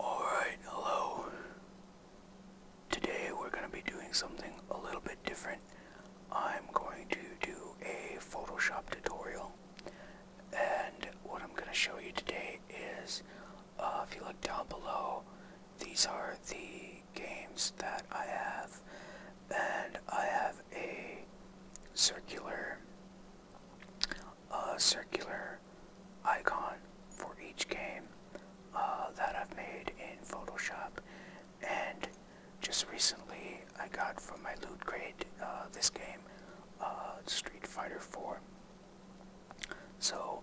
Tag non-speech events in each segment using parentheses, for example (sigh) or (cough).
Alright, hello. Today we're going to be doing something a little bit different. I'm going to do a Photoshop tutorial. And what I'm going to show you today is, uh, if you look down below, these are the games that I have. And I have a circular a circular icon for each game uh, that I've made in Photoshop. And just recently, I got from my loot crate uh, this game, uh, Street Fighter 4. So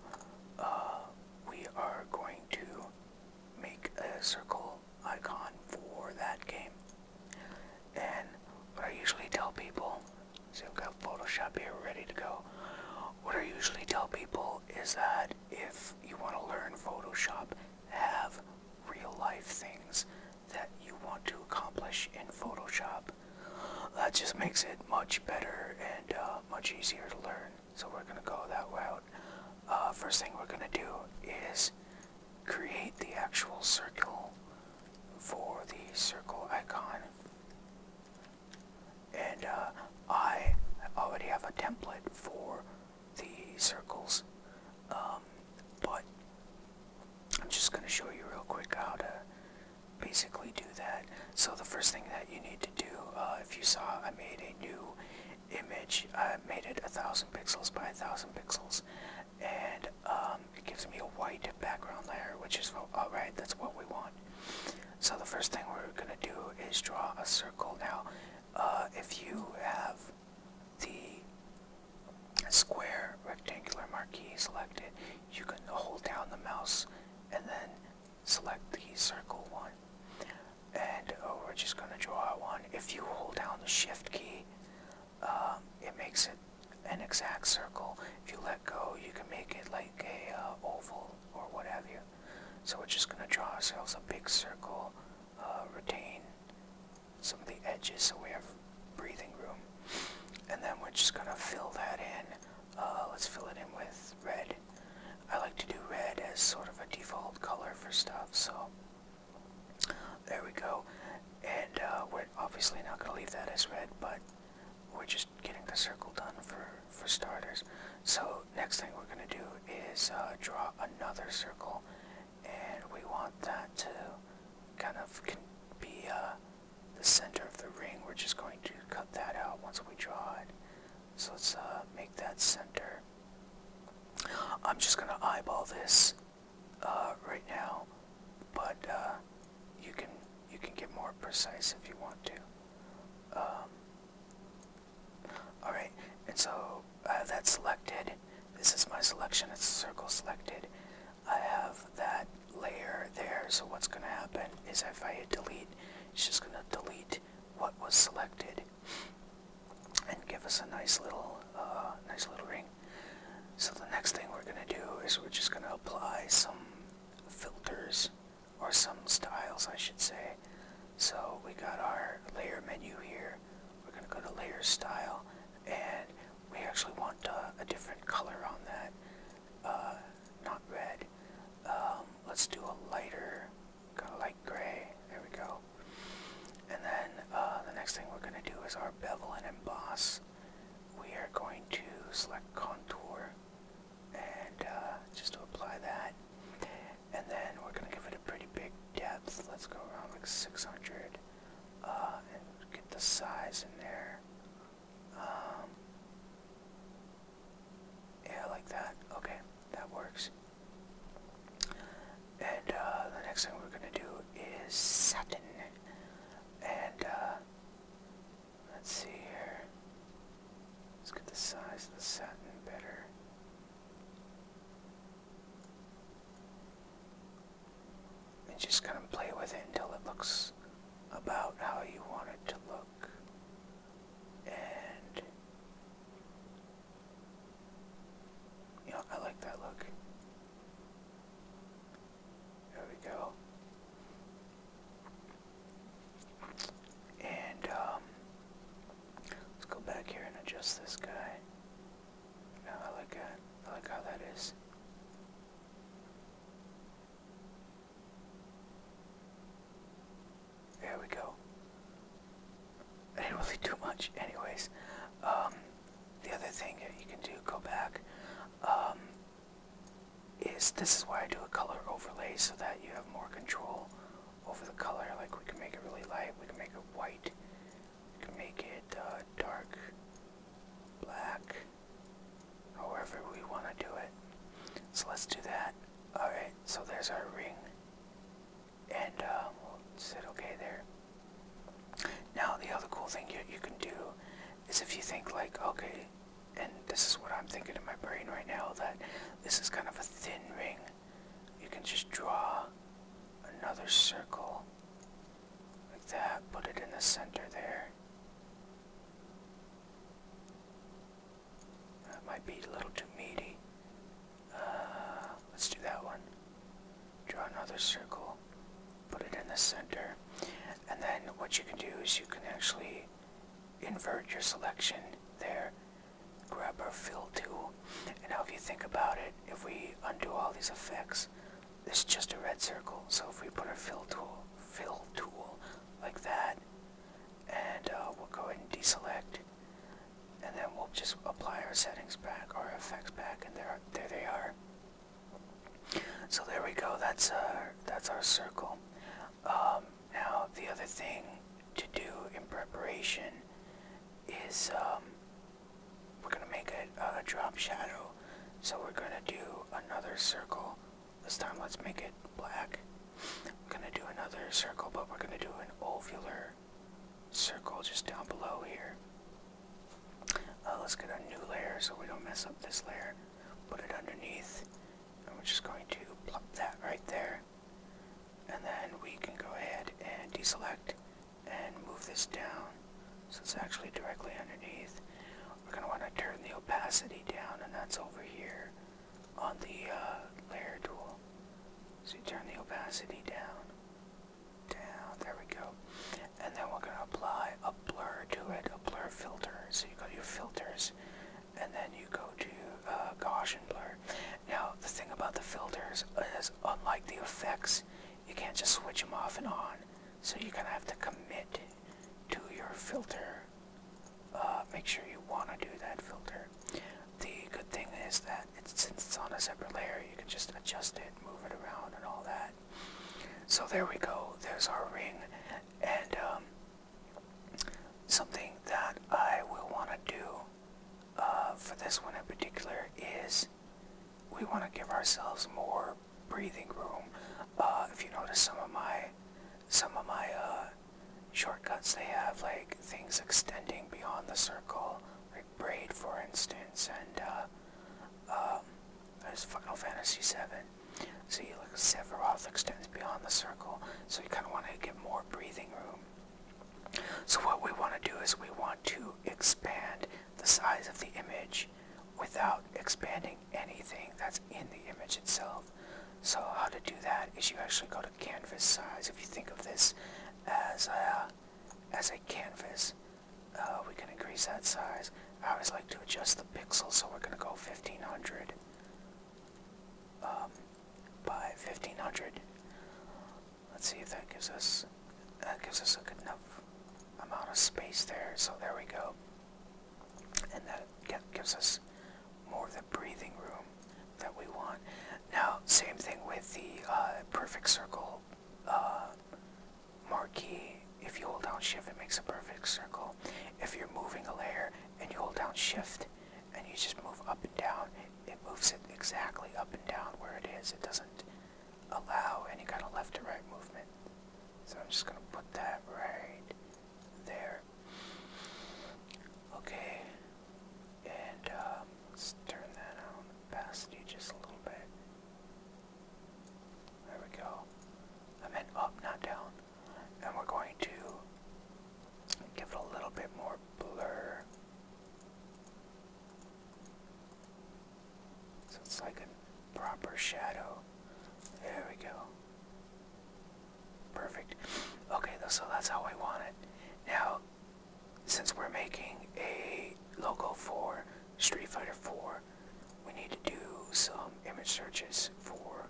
we are going to make a circle icon for that game. And what I usually tell people, see I've got Photoshop here ready to go. What I usually tell people is that if you want to learn Photoshop, have real life things that you want to accomplish in Photoshop. That just makes it much better and uh, much easier to learn. So we're going to go that route. Uh, first thing we're going to do is create the actual circle for the circle icon. And uh, I already have a template for the circles, um, but I'm just going to show you real quick how to basically do that. So the first thing that you need to do, uh, if you saw, I made a new image. I made it a thousand pixels by a thousand pixels and um, it gives me a white background layer, which is oh, alright, that's what we want. So the first thing we're gonna do is draw a circle. Now, uh, if you have the square rectangular marquee selected, you can hold down the mouse and then select the circle one. And uh, we're just gonna draw one. If you hold down the shift key, um, it makes it an exact circle. If you let go, you can make it like a uh, oval or whatever. So we're just going to draw ourselves a big circle, uh, retain some of the edges so we have breathing room. And then we're just going to fill that in. Uh, let's fill it in with red. I like to do red as sort of a default color for stuff, so there we go. And we're obviously not going to leave that as red, but we're just getting the circle done for, for starters. So next thing we're going to do is uh, draw another circle, and we want that to kind of be uh, the center of the ring. We're just going to cut that out once we draw it. So let's uh, make that center. I'm just going to eyeball this uh, right now, but uh, you can you can get more precise if you want to. Um, all right, and so I have that selected. This is my selection. It's a circle selected. I have that layer there. So what's going to happen is if I hit delete, it's just going to delete what was selected and give us a nice little, uh, nice little ring. So the next thing we're gonna do is we're just gonna apply some filters or some styles I should say. So we got our layer menu here. We're gonna go to layer style and we actually want uh, a different color on that. Uh, not red. Um, let's do a lighter, kind of light gray. There we go. And then uh, the next thing we're going to do is our bevel and emboss we are going to select contour and uh, just to apply that. And then we're going to give it a pretty big depth. Let's go around like 600 uh, and get the size in there. Um, yeah, like that. Okay, that works. And uh, the next thing we're going to do is satin. And Let's see here. Let's get the size of the satin better. And just kind of play with it until it looks about how you want it to look. And, you I like that look. There we go. And um, let's go back here and adjust this guy. Now I like that. I like how that is. There we go. (laughs) I didn't really do much, anyways. Um, the other thing that you can do, go back. Um, is this is why I do a color overlay so that you have more control over the color. Like we can make it really light, we can make it white, we can make it uh, dark, black, however we want to do it. So let's do that. Alright, so there's our ring. And um, we'll set okay there. Now the other cool thing you can do is if you think like, okay, and this is what I'm thinking in my brain right now, that this is kind of a thin ring. You can just draw another circle like that, put it in the center there. That might be a little too meaty. Uh, let's do that one. Draw another circle put it in the center. And then what you can do is you can actually invert your selection there, grab our fill tool. And now if you think about it, if we undo all these effects, it's just a red circle. So if we put our fill tool, fill tool like that, and uh, we'll go ahead and deselect, and then we'll just apply our settings back, our effects back, and there, there they are. So there we go. That's our that's our circle. Um, now the other thing to do in preparation is um, we're gonna make a, drop shadow. So we're gonna do another circle. This time let's make it black. We're gonna do another circle, but we're gonna do an ovular circle just down below here. Uh, let's get a new layer so we don't mess up this layer put it underneath, and we're just going to plop that right there. And then we can go ahead and deselect and move this down so it's actually directly underneath. We're going to want to turn the opacity down, and that's over here on the uh, layer tool. So you turn the opacity down, down, there we go. And then we're going to apply a blur to it, a blur filter. So you go to your filters, and then you go to uh, Gaussian blur. Now the thing about the filters is, unlike the effects, you can't just switch them off and on. So you're gonna have to commit to your filter. Uh, make sure you want to do that filter. The good thing is that since it's on a separate layer, you can just adjust it, move it around, and all that. So there we go. There's our ring and um, something that I will want to do uh, for this one in particular is we want to give ourselves more breathing room. Uh, if you notice some of my some of my uh, shortcuts, they have like things extending beyond the circle, like braid, for instance, and uh, um, there's Final Fantasy VII. So you look, Sephiroth extends beyond the circle, so you kind of want to get more breathing room. So what we want to do is we want to expand the size of the image without expanding anything that's in the image itself. So how to do that is you actually go to canvas size. If you think of this as a, as a canvas, uh, we can increase that size. I always like to adjust the pixels, so we're going to go 1500 um, by 1500. Let's see if that gives us that gives us a good enough amount of space there. So there we go, and that gives us more of the breathing room that we want. Now, same thing with the uh, perfect circle uh, marquee, if you hold down shift, it makes a perfect circle. If you're moving a layer and you hold down shift and you just move up and down, it moves it exactly up and down where it is. It doesn't allow any kind of left to right movement. So I'm just going to put that right there. Okay. And um, let's turn that on pasty just a little bit. There we go. I meant up, not down and we're going to give it a little bit more blur. So it's like a proper shadow. There we go. Perfect. Okay, so that's how I want it. Now, since we're making a logo for Street Fighter 4, we need to do some image searches for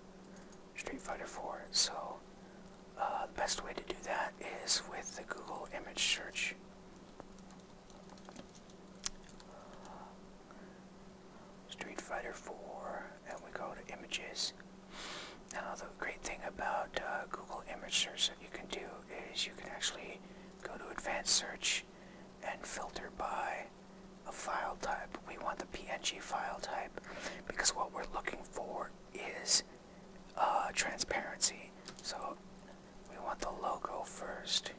Street Fighter 4. So uh, the best way to do that is with the Google image search. Street Fighter 4, and we go to images. Now the great thing about uh, Google image search that you can do is you can actually go to advanced search and filter by a file type. We want the PNG file type because what we're looking for is uh, transparency. So we want the logo first.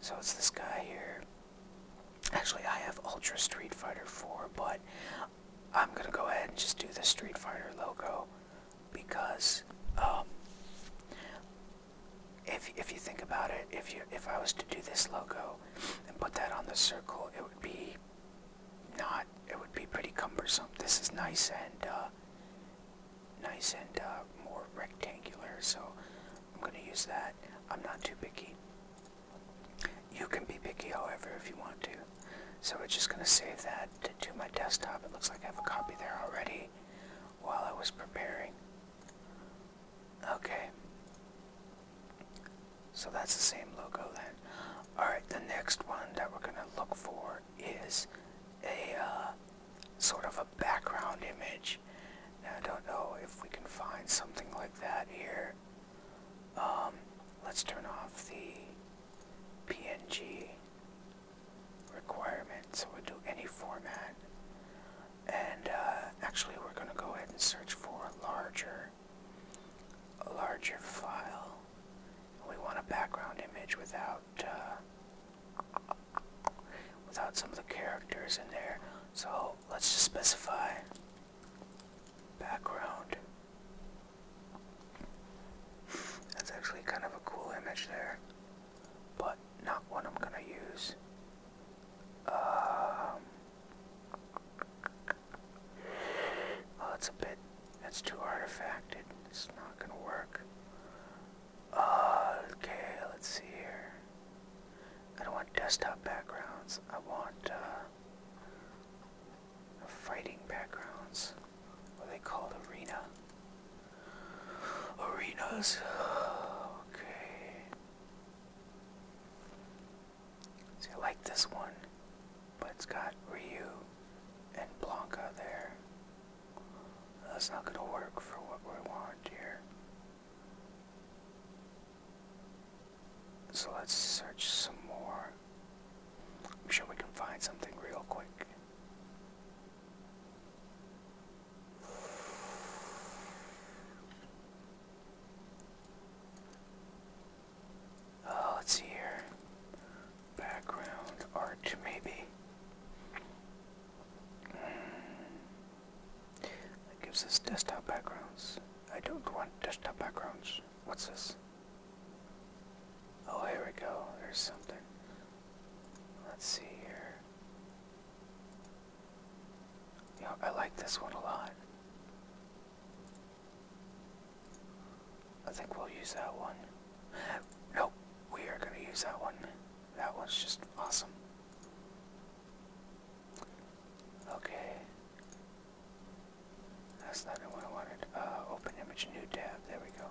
So it's this guy here. Actually, I have Ultra Street Fighter 4, but I'm gonna go ahead and just do the Street Fighter logo because um, if if you think about it, if you if I was to do this logo and put that on the circle, it would be not it would be pretty cumbersome. This is nice and uh, nice and uh, more rectangular, so I'm gonna use that. I'm not too picky. You can be picky, however, if you want to. So we're just gonna save that to my desktop. It looks like I have a copy there already while I was preparing. Okay. So that's the same logo then. Alright, the next one that we're going to look for is a uh, sort of a background image. Now, I don't know if we can find something like that here. Um, let's turn off the PNG requirement so we'll do any format and uh, actually we're going to go ahead and search for a larger, a larger file. We want a background image without uh, without some of the characters in there. So let's just specify background. That's actually kind of a cool image there, but not one I'm gonna use. Um, well, it's a bit, It's too artifacted. It's not gonna work. okay, let's see here. I don't want desktop backgrounds. I want, uh, fighting backgrounds. What they call arena. Arenas. (sighs) Okay. So I like this one, but it's got Ryu and Blanca there. That's not going to work for what we want here. So let's search some more. I'm sure we can find something real quick. Oh, let's see here. Background art, maybe. Mm. gives us desktop backgrounds. I don't want desktop backgrounds. What's this? Oh, here we go. There's something. Let's see here. You I like this one a lot. I think we'll use that one. Nope, we are going to use that one. That one's just awesome. Okay. That's not the one I wanted. Uh, open image, new tab. There we go.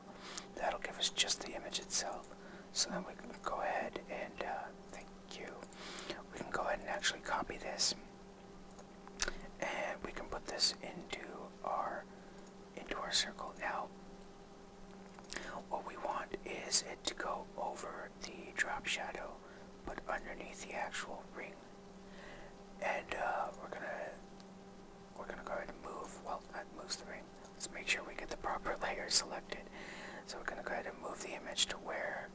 That'll give us just the image itself. So then we can go ahead and uh, you. We can go ahead and actually copy this, and we can put this into our into our circle. Now, what we want is it to go over the drop shadow, but underneath the actual ring. And uh, we're gonna we're gonna go ahead and move. Well, that moves the ring. Let's make sure we get the proper (laughs) layer selected. So we're gonna go ahead and move the image to where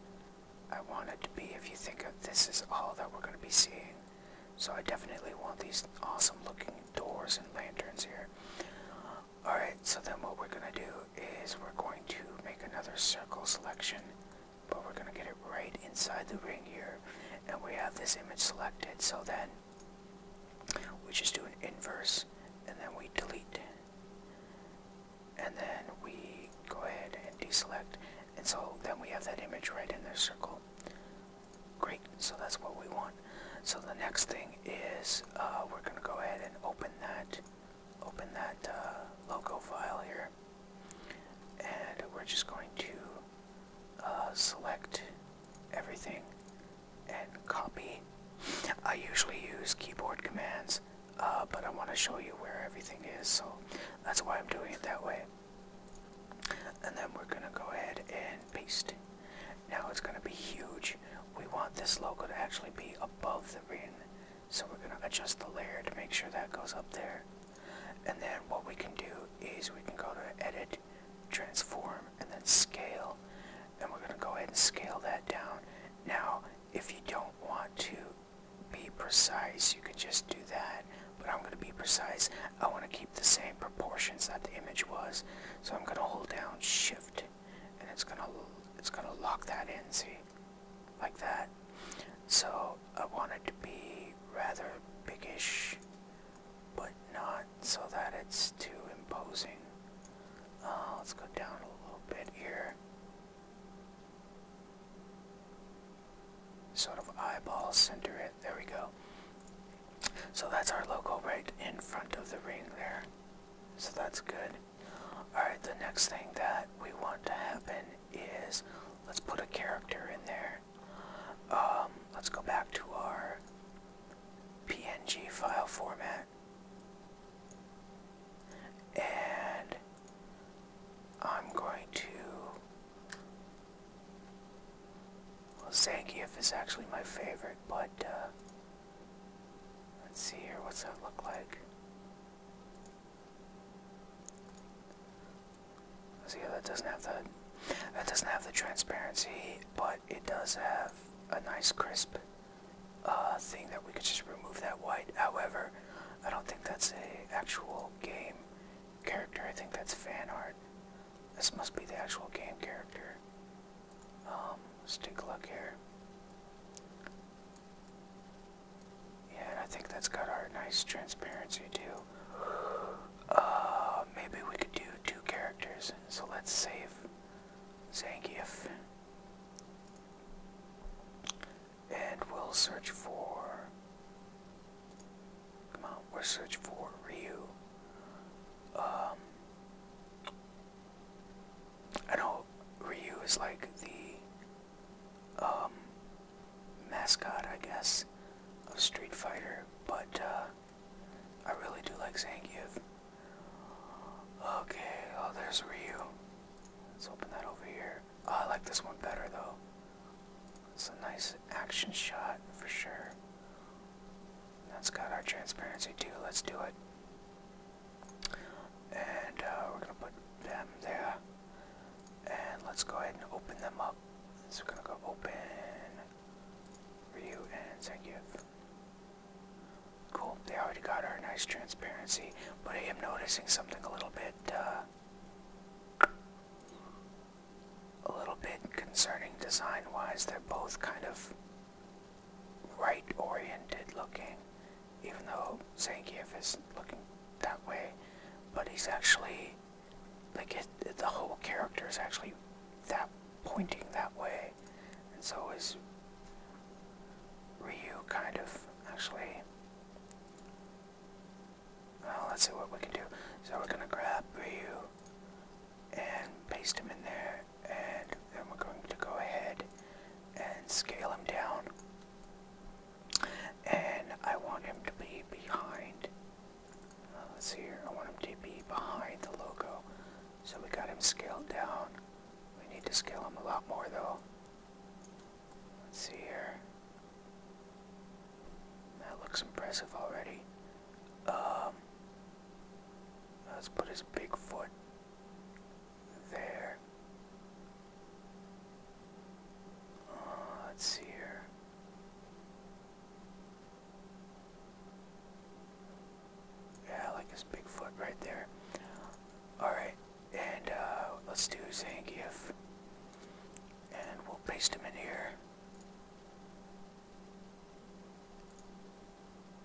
I want it to be if you think of this is all that we're going to be seeing. So I definitely want these awesome looking doors and lanterns here. Alright, so then what we're going to do is we're going to make another circle selection. But we're going to get it right inside the ring here. And we have this image selected. So then we just do an inverse and then we delete and then we go ahead and deselect and so then we have that image right in the circle great so that's what we want so the next thing is uh, we're gonna go ahead and open that open that uh, logo file here and we're just going to uh, select everything and copy I usually use keyboard commands uh, but I want to show you where everything is, so that's why I'm doing it that way. And then we're going to go ahead and paste. Now it's going to be huge. We want this logo to actually be above the ring, so we're going to adjust the layer to make sure that goes up there. And then what we can do is we can go to Edit, Transform, and then Scale. And we're going to go ahead and scale that down. Now, if you don't want to be precise, you could just do that. But I'm going to be precise. I want to keep the same proportions that the image was. So I'm going to hold down Shift, and it's going to it's going to lock that in. See, like that. So I want it to be rather biggish, but not so that it's too imposing. Uh, let's go down a little bit here sort of eyeball center it. There we go. So that's our logo right in front of the ring there. So that's good. Alright, the next thing that we want to happen is let's put a character in there. Um, let's go back to our PNG file format. And I'm going to. Well, Zangief is actually my favorite, but uh, let's see here. What's that look like? See, that doesn't have the that doesn't have the transparency, but it does have a nice crisp uh, thing that we could just remove that white. However, I don't think that's a actual game character. I think that's fan art. This must be the actual game character. Um, let's take a look here. Yeah, and I think that's got our nice transparency too. Uh, maybe we could do two characters. So let's save Zangief and we'll search for. Come on, we'll search for Ryu. Um, I know Ryu is like the um, mascot, I guess, of Street Fighter, but uh, I really do like Zangief. Okay, oh, there's Ryu. Let's open that over here. Oh, I like this one better though. It's a nice action shot for sure. That's got our transparency too. Let's do it. And uh, we're gonna put them there. And let's go ahead and open them up. So we're gonna go open Ryu and Zangief. Cool. They already got our nice transparency, but I am noticing something a little bit. Uh, a little bit concerning design wise they're both kind of right oriented looking even though Zangief is looking that way but he's actually like the whole character is actually that pointing that way and so is Ryu kind of actually let's see what we can do. So we're going to grab Ryu and paste him in there, and then we're going to go ahead and scale him down. And I want him to be behind. Uh, let's see here. I want him to be behind the logo. So we got him scaled down. We need to scale him a lot more though. Let's see here. That looks impressive already. Um, let's put his big foot there. Uh, let's see here. Yeah, like his big foot right there. Alright, and uh, let's do Zangief. And we'll paste him in here.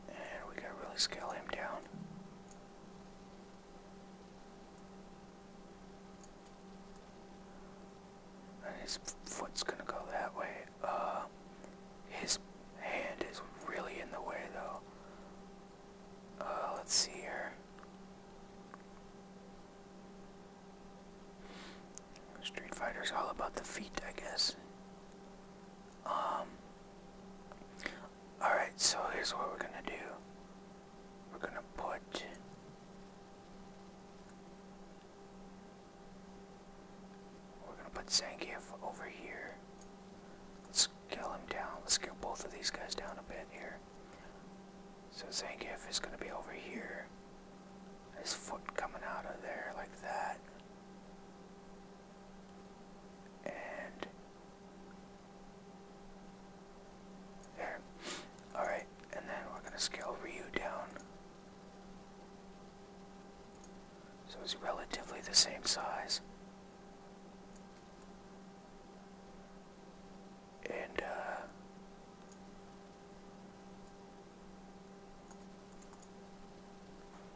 And we gotta really scale him down. And his foot's gonna go that way. Uh, his hand is really in the way though. Uh, let's see here. Street Fighter's all about the feet, I guess. Um. Alright, so here's what we're gonna do. We're gonna put. We're gonna put Zangief over here. Let's kill him down. Let's kill both of these guys down a bit here. So Zangief is going to be over here. His foot coming out of there like that. And there. Alright, and then we're going to scale Ryu down. So it's relatively the same size and uh,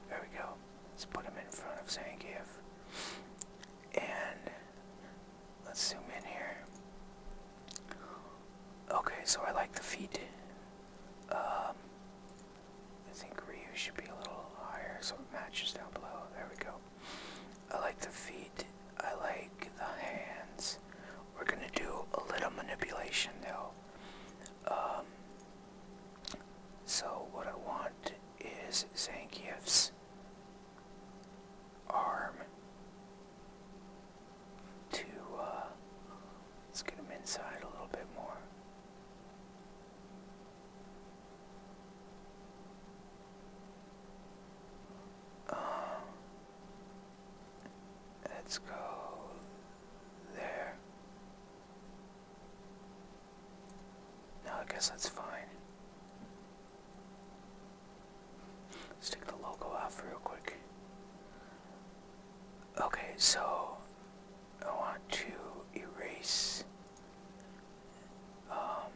there we go. Let's put him in front of Zangief, and let's zoom in here. Okay, so I like the feet. Um, I think Ryu should be a little higher, so it matches down below. There we go. I like the feet. I like the hands. We're gonna do a little manipulation though. Um, so what I want is Zangief's arm to, uh, let's get him inside a little bit more. Um, let's go there. Now I guess that's fine. let the logo off real quick. Okay, so I want to erase um,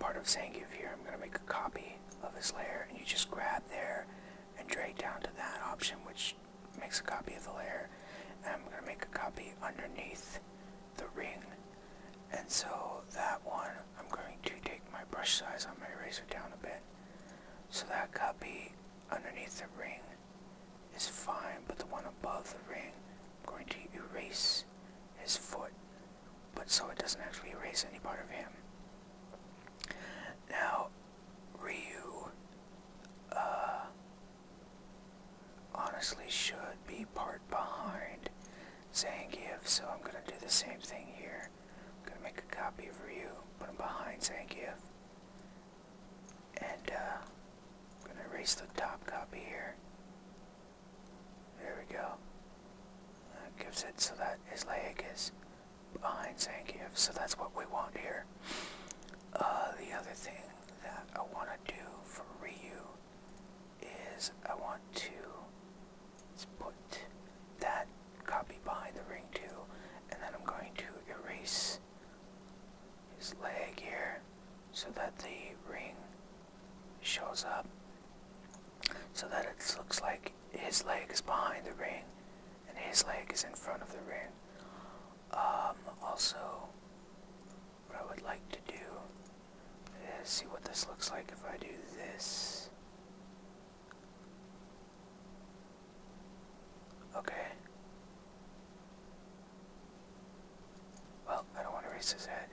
part of Zangief here, I'm going to make a copy of this layer, and you just grab there and drag down to that option, which makes a copy of the layer. And I'm going to make a copy underneath the ring. And so that one, I'm going to take my brush size on my eraser down a bit. So that copy underneath the ring is fine, but the one above the ring I'm going to erase his foot, but so it doesn't actually erase any part of him. Now, Ryu, uh, honestly should be part behind Zangief, so I'm gonna do the same thing here. I'm gonna make a copy of Ryu, put him behind Zangief, and, uh, I'm gonna erase the top copy here. There we go. That gives it so that his leg is behind Zangief, so that's what we want here. Uh, the other thing that I want to do for Ryu is I want to put that copy behind the ring too, and then I'm going to erase his leg here so that the ring shows up so that it looks like his leg is behind the ring and his leg is in front of the ring. Um, also, what I would like to do is see what this looks like if I do this. Okay. Well, I don't want to raise his head.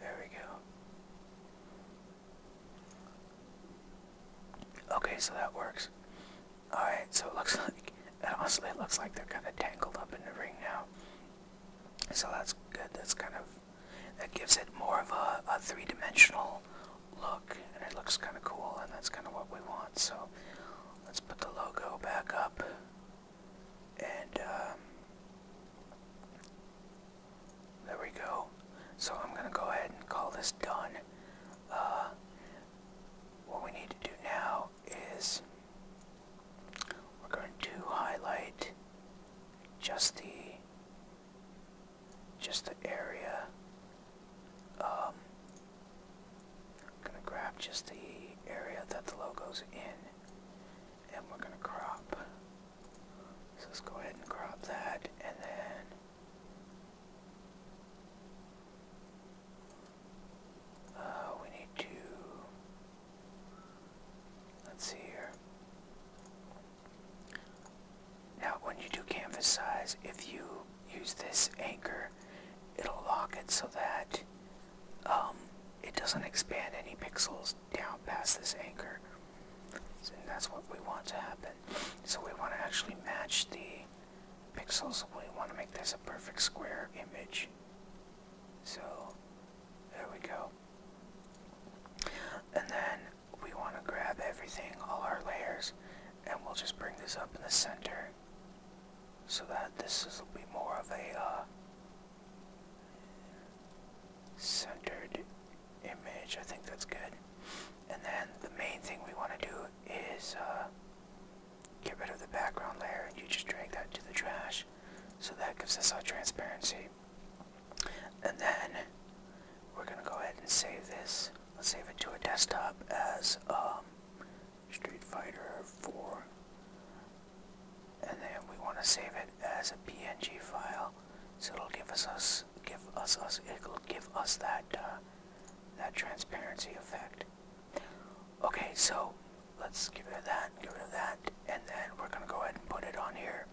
There we go. Okay, so that works. Alright, so it looks (laughs) like, and honestly, it looks like they're kind of tangled up in the ring now. So that's good. That's kind of, that gives it more of a three dimensional look, and it looks kind of cool, and that's kind of what we want. So let's put the logo back up. And um, there we go. So I'm going to go ahead and call this done. Uh, what we need to do now is we're going to highlight just the just the area. I'm um, going to grab just the area that the logo's in and we're gonna crop. So let's go ahead and crop that and then uh, we need to, let's see here. Now when you do canvas size, if you use this anchor, it'll lock it so that um, it doesn't expand any pixels down past this anchor. and that's what we want to happen. So we want to actually match the pixels. We want to make this a perfect square image. So there we go. And then we want to grab everything, all our layers, and we'll just bring this up in the center so that this will be more of a uh, centered image. I think that's good. And then the main thing we want to do is uh, get rid of the background layer and you just drag that to the trash. So that gives us our transparency. And then we're going to go ahead and save this. Let's save it to a desktop as um, Street Fighter 4 and then we want to save it as a PNG file so it'll give us us give us us it'll give us that uh, that transparency effect okay so let's get rid of that get rid of that and then we're gonna go ahead and put it on here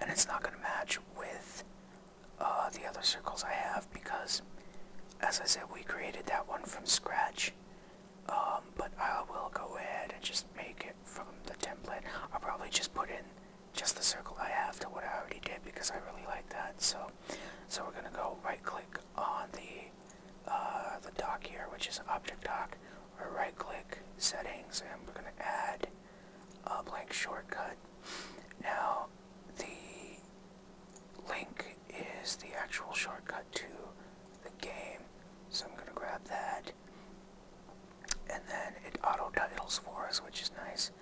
and it's not gonna match with uh, the other circles I have because as I said we created that one from scratch um, but I will go ahead and just make it from the template. I'll probably just put in just the circle I have to what I already did because I really like that. So, so we're gonna go right click on the uh, the dock here, which is object dock. Or right click settings, and we're gonna add a blank shortcut. Now the link is the actual shortcut to the game. So I'm gonna grab that. And then it auto titles for us, which is nice.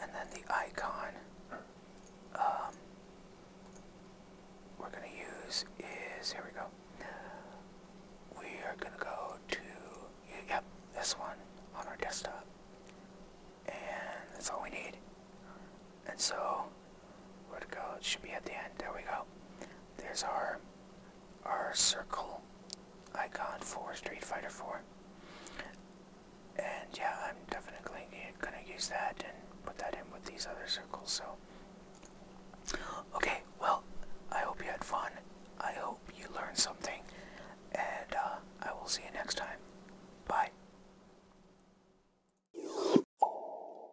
And then the icon um, we're gonna use is here we go. We are gonna go to yep this one on our desktop, and that's all we need. And so where to go? It should be at the end. There we go. There's our our circle icon for Street Fighter 4. And yeah, I'm definitely gonna use that and put that in with these other circles. So, okay, well, I hope you had fun. I hope you learned something. And uh, I will see you next time. Bye.